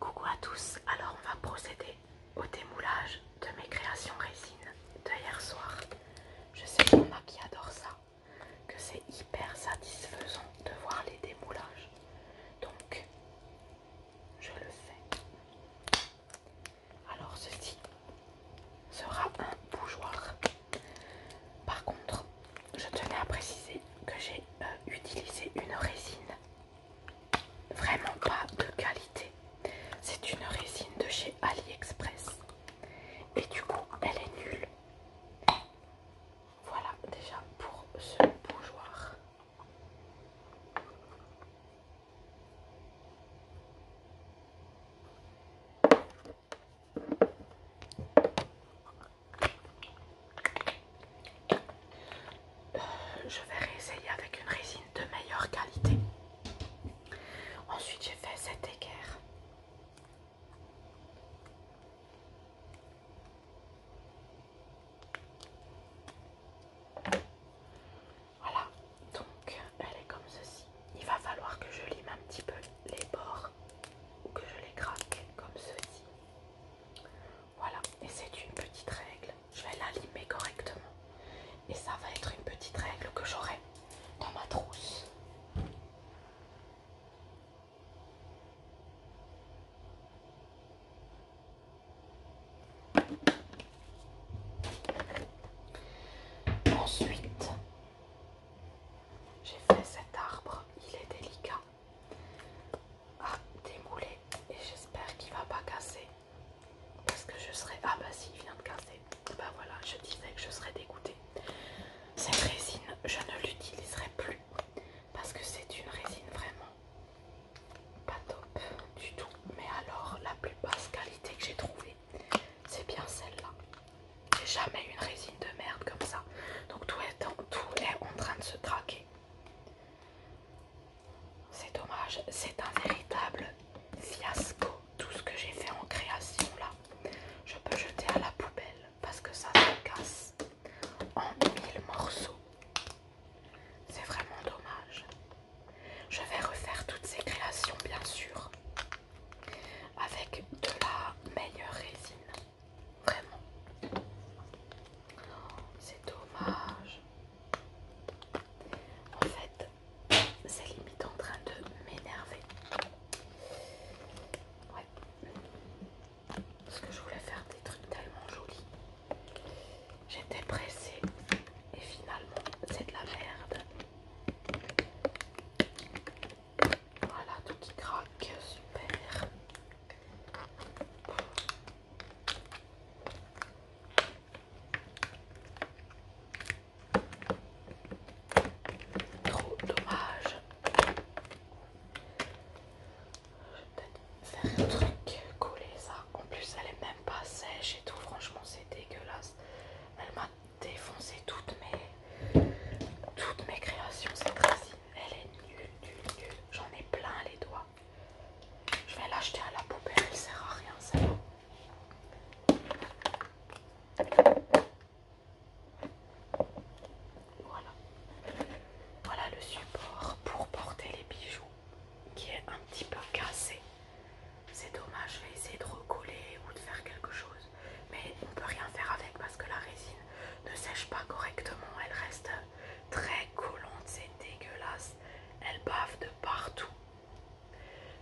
Coucou à tous, alors on va procéder au démoulage de mes créations résine de hier soir. Je sais qu'il y en a qui adore ça, que c'est hyper satisfaisant de voir les démoulages. Donc, je le fais. Alors ceci sera un bougeoir. Par contre, je tenais à préciser que j'ai euh, utilisé une résine Vraiment pas de qualité. C'est une résine de chez AliExpress. Et du coup, elle est nulle. Voilà déjà pour ce bougeoir je vais réessayer avec une résine de meilleure qualité. Ensuite, j'ai fait cette équerre. Voilà, donc elle est comme ceci. Il va falloir que je lime un petit peu les bords ou que je les craque comme ceci. Voilà, et c'est une petite règle. Je vais la correctement. Et ça va être une petite règle que j'aurai dans ma trousse. Ensuite, j'ai fait cet arbre, il est délicat à ah, démouler et j'espère qu'il va pas casser parce que je serai ah bah si il vient de casser bah voilà je disais que je serais dégoûtée cette résine je ne l'utiliserai plus parce que c'est une résine vraiment pas top du tout mais alors la plus basse qualité que j'ai trouvée c'est bien celle-là j'ai jamais une résine de merde comme ça donc tout est tout est en train de se craquer c'est dommage, c'est un véritable fiasco tout ce que j'ai fait en création là. Je peux jeter à la poubelle parce que ça se casse en mille morceaux. C'est vraiment dommage. Je vais refaire toutes ces créations bien sûr avec de la meilleure résine. Vraiment. C'est dommage. En fait, c'est limite en train de m'énerver. Ouais. Parce que je voulais faire des trucs tellement jolis. J'étais pressée. Et finalement, c'est de la merde. Voilà, tout qui craque, super. Trop dommage. Je vais peut-être faire un truc, coller ça. En plus, elle est même pas sèche et tout. Franchement, c'est dégueulasse. Elle m'a défoncé toutes mes, toutes mes créations cette fois elle est nulle, nulle, nulle. J'en ai plein les doigts. Je vais l'acheter à la poubelle, elle sert à rien ça. Voilà. Voilà le support pour porter les bijoux qui est un petit peu cassé. C'est dommage, je vais essayer de recoller ou de faire quelque chose. Mais on ne peut rien faire avec parce que la résine ne sèche pas correctement. Elle reste très collante, c'est dégueulasse. Elle bave de partout.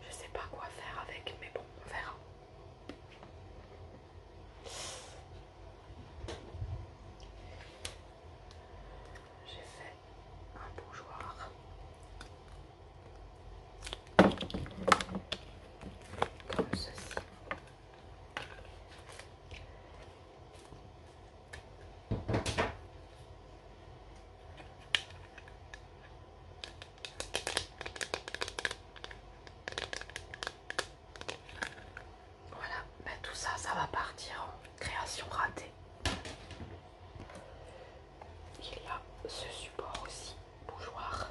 Je sais pas quoi faire avec, mais bon, on verra. J'ai fait un bougeoir comme ceci. Voilà, ben tout ça, ça va partir en création ratée. Il y a ce support aussi, bougeoir.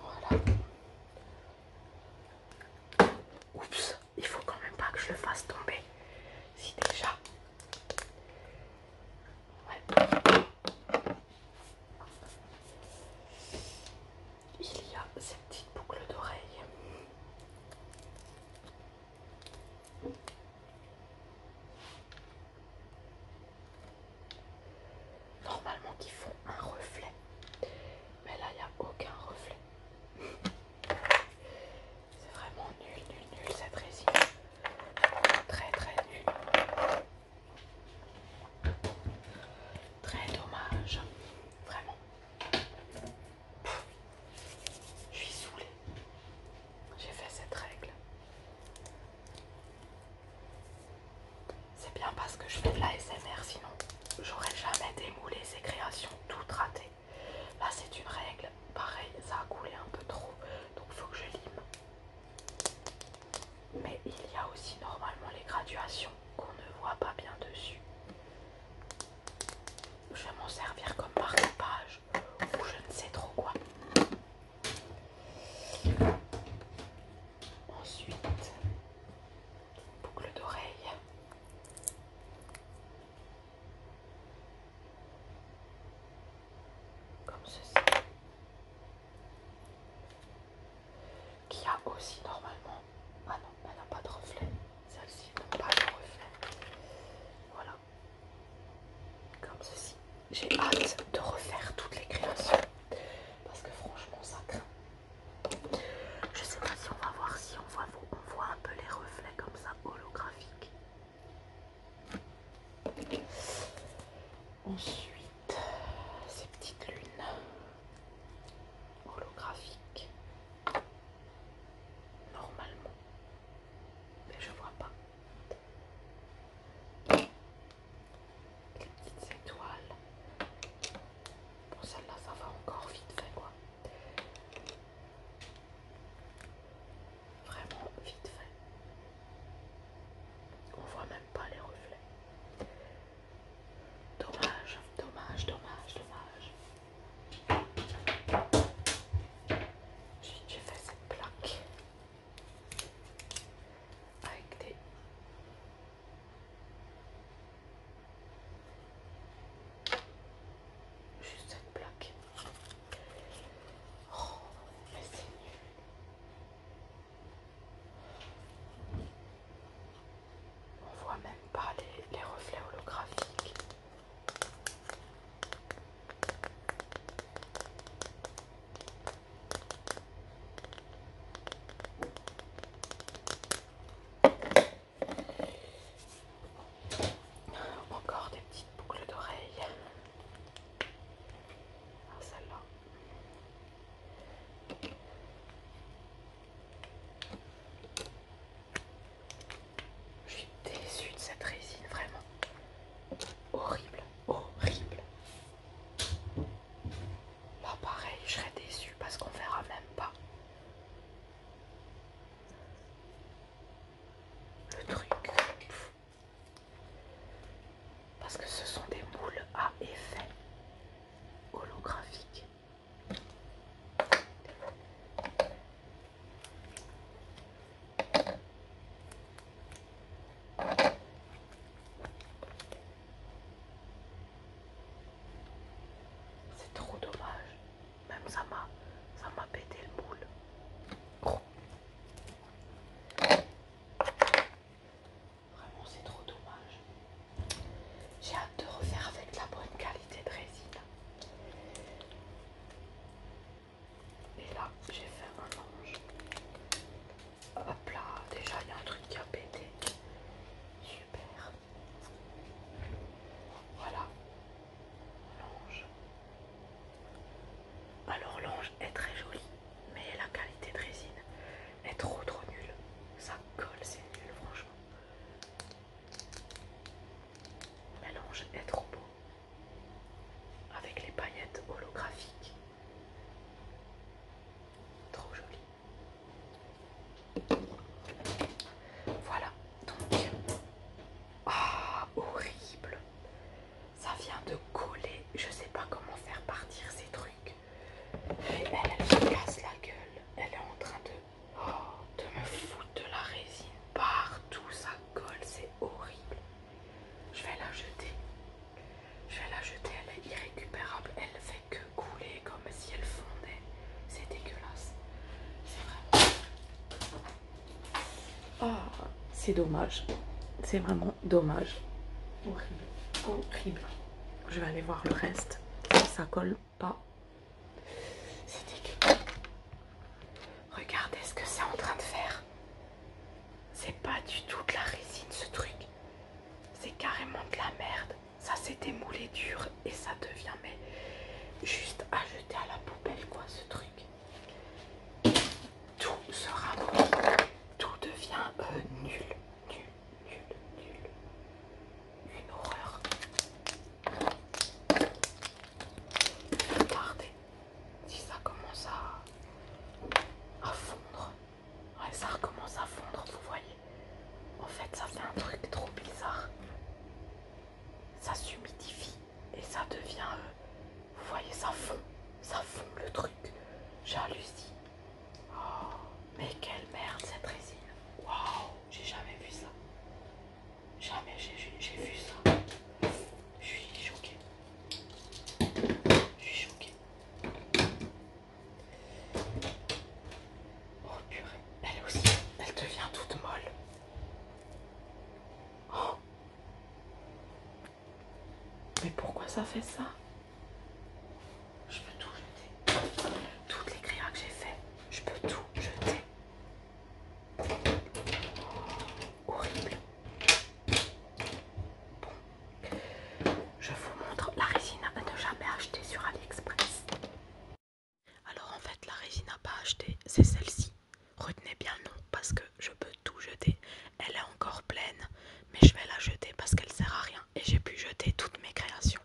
Voilà. Oups, il faut quand même pas que je le fasse tomber. Si déjà. Ouais. Il y a cette petite boucle d'oreille. Normalement qui font un reflet. Mais là, il n'y a aucun reflet. C'est vraiment nul, nul, nul cette résine. Très, très nul. Très dommage. Vraiment. je suis saoulée. J'ai fait cette règle. C'est bien parce que je fais de la SMR, sinon j'aurais jamais démoulé ces créations tout ratées. Là, c'est une règle. Pareil, ça a coulé un peu trop, donc il faut que je lime. Mais il y a aussi normalement les graduations qu'on ne voit pas bien dessus. Je vais m'en servir comme marque ou je ne sais trop quoi. Ensuite, boucle d'oreille. Comme ceci. Qui a aussi normalement... Ah non, elle n'a pas de reflet. Celle-ci n'a pas de reflet. Voilà. Comme ceci. J'ai hâte de refaire toutes les créations. Parce que franchement, ça craint. Je sais pas si on va voir si on voit, on voit un peu les reflets comme ça holographiques. Ensuite, ces petites lunes holographiques. Normalement. Mais je vois pas. Les petites étoiles. Pour celle-là, ça va encore vite fait, quoi. Vraiment vite fait. On voit même pas les reflets. Dommage, dommage, dommage, dommage j'ai fait cette plaque avec des juste cette plaque. Oh, mais c'est nul. On voit même pas les reflets holographiques. Encore des petites boucles d'oreilles. Ah, je suis déçue de cette résine, vraiment. Horrible, horrible. Là, pareil, je serais déçue parce qu'on verra même pas. Le truc. Parce que ce sont des moules à effet holographique. C'est trop dommage. Même ça m'a ça m'a pété le moule. Vraiment c'est trop dommage. J'ai hâte de refaire avec la bonne qualité de résine. Et là, j'ai fait un ange. Hop là, déjà il y a un truc qui a pété. Super. Voilà. L'ange. Alors l'ange est très joli, mais la qualité de résine est trop trop nulle. Ça colle, c'est nul franchement. Mélange est trop beau avec les paillettes holographiques. Trop joli. Voilà, donc. Ah, horrible. Ça vient de coller. Je sais pas comment faire partir ces trucs. Elle, elle casse la gueule. Elle est en train de de me foutre de la résine partout, ça colle, c'est horrible. Je vais la jeter. Je vais la jeter, elle est irrécupérable, elle fait que couler comme si elle fondait. C'est dégueulasse. C'est vraiment... Ah, c'est dommage. C'est vraiment dommage. Horrible. Horrible. Je vais aller voir le reste. ça colle pas. C'est Regardez ce que c'est en train de faire. C'est pas du tout de la résine ce truc. C'est carrément de la merde. Ça s'est démoulé dur et ça devient mais juste à jeter à la poubelle quoi ce truc. Tout sera Tout devient euh, nul, nul, nul, nul une horreur. Regardez si ça commence à, à fondre. Ouais, ça recommence à fondre, vous voyez. En fait, ça fait un truc trop bizarre. Ça s'humidifie et ça devient. Euh, vous voyez, ça fond. Ça fond le truc. J'hallucine. Oh, mais quelle merde cette résine. Waouh, j'ai jamais vu ça. Jamais j'ai vu ça. Je suis choquée. Je suis choquée. Oh purée. Elle aussi, elle devient toute molle. Oh. Mais pourquoi ça fait ça Je peux tout jeter. Toutes les grillades que j'ai fait, je peux tout Jeter horrible. Bon, je vous montre la résine à ne jamais acheter sur AliExpress. Alors en fait, la résine à pas acheter, c'est celle-ci. Retenez bien non parce que je peux tout jeter. Elle est encore pleine, mais je vais la jeter parce qu'elle sert à rien et j'ai pu jeter toutes mes créations.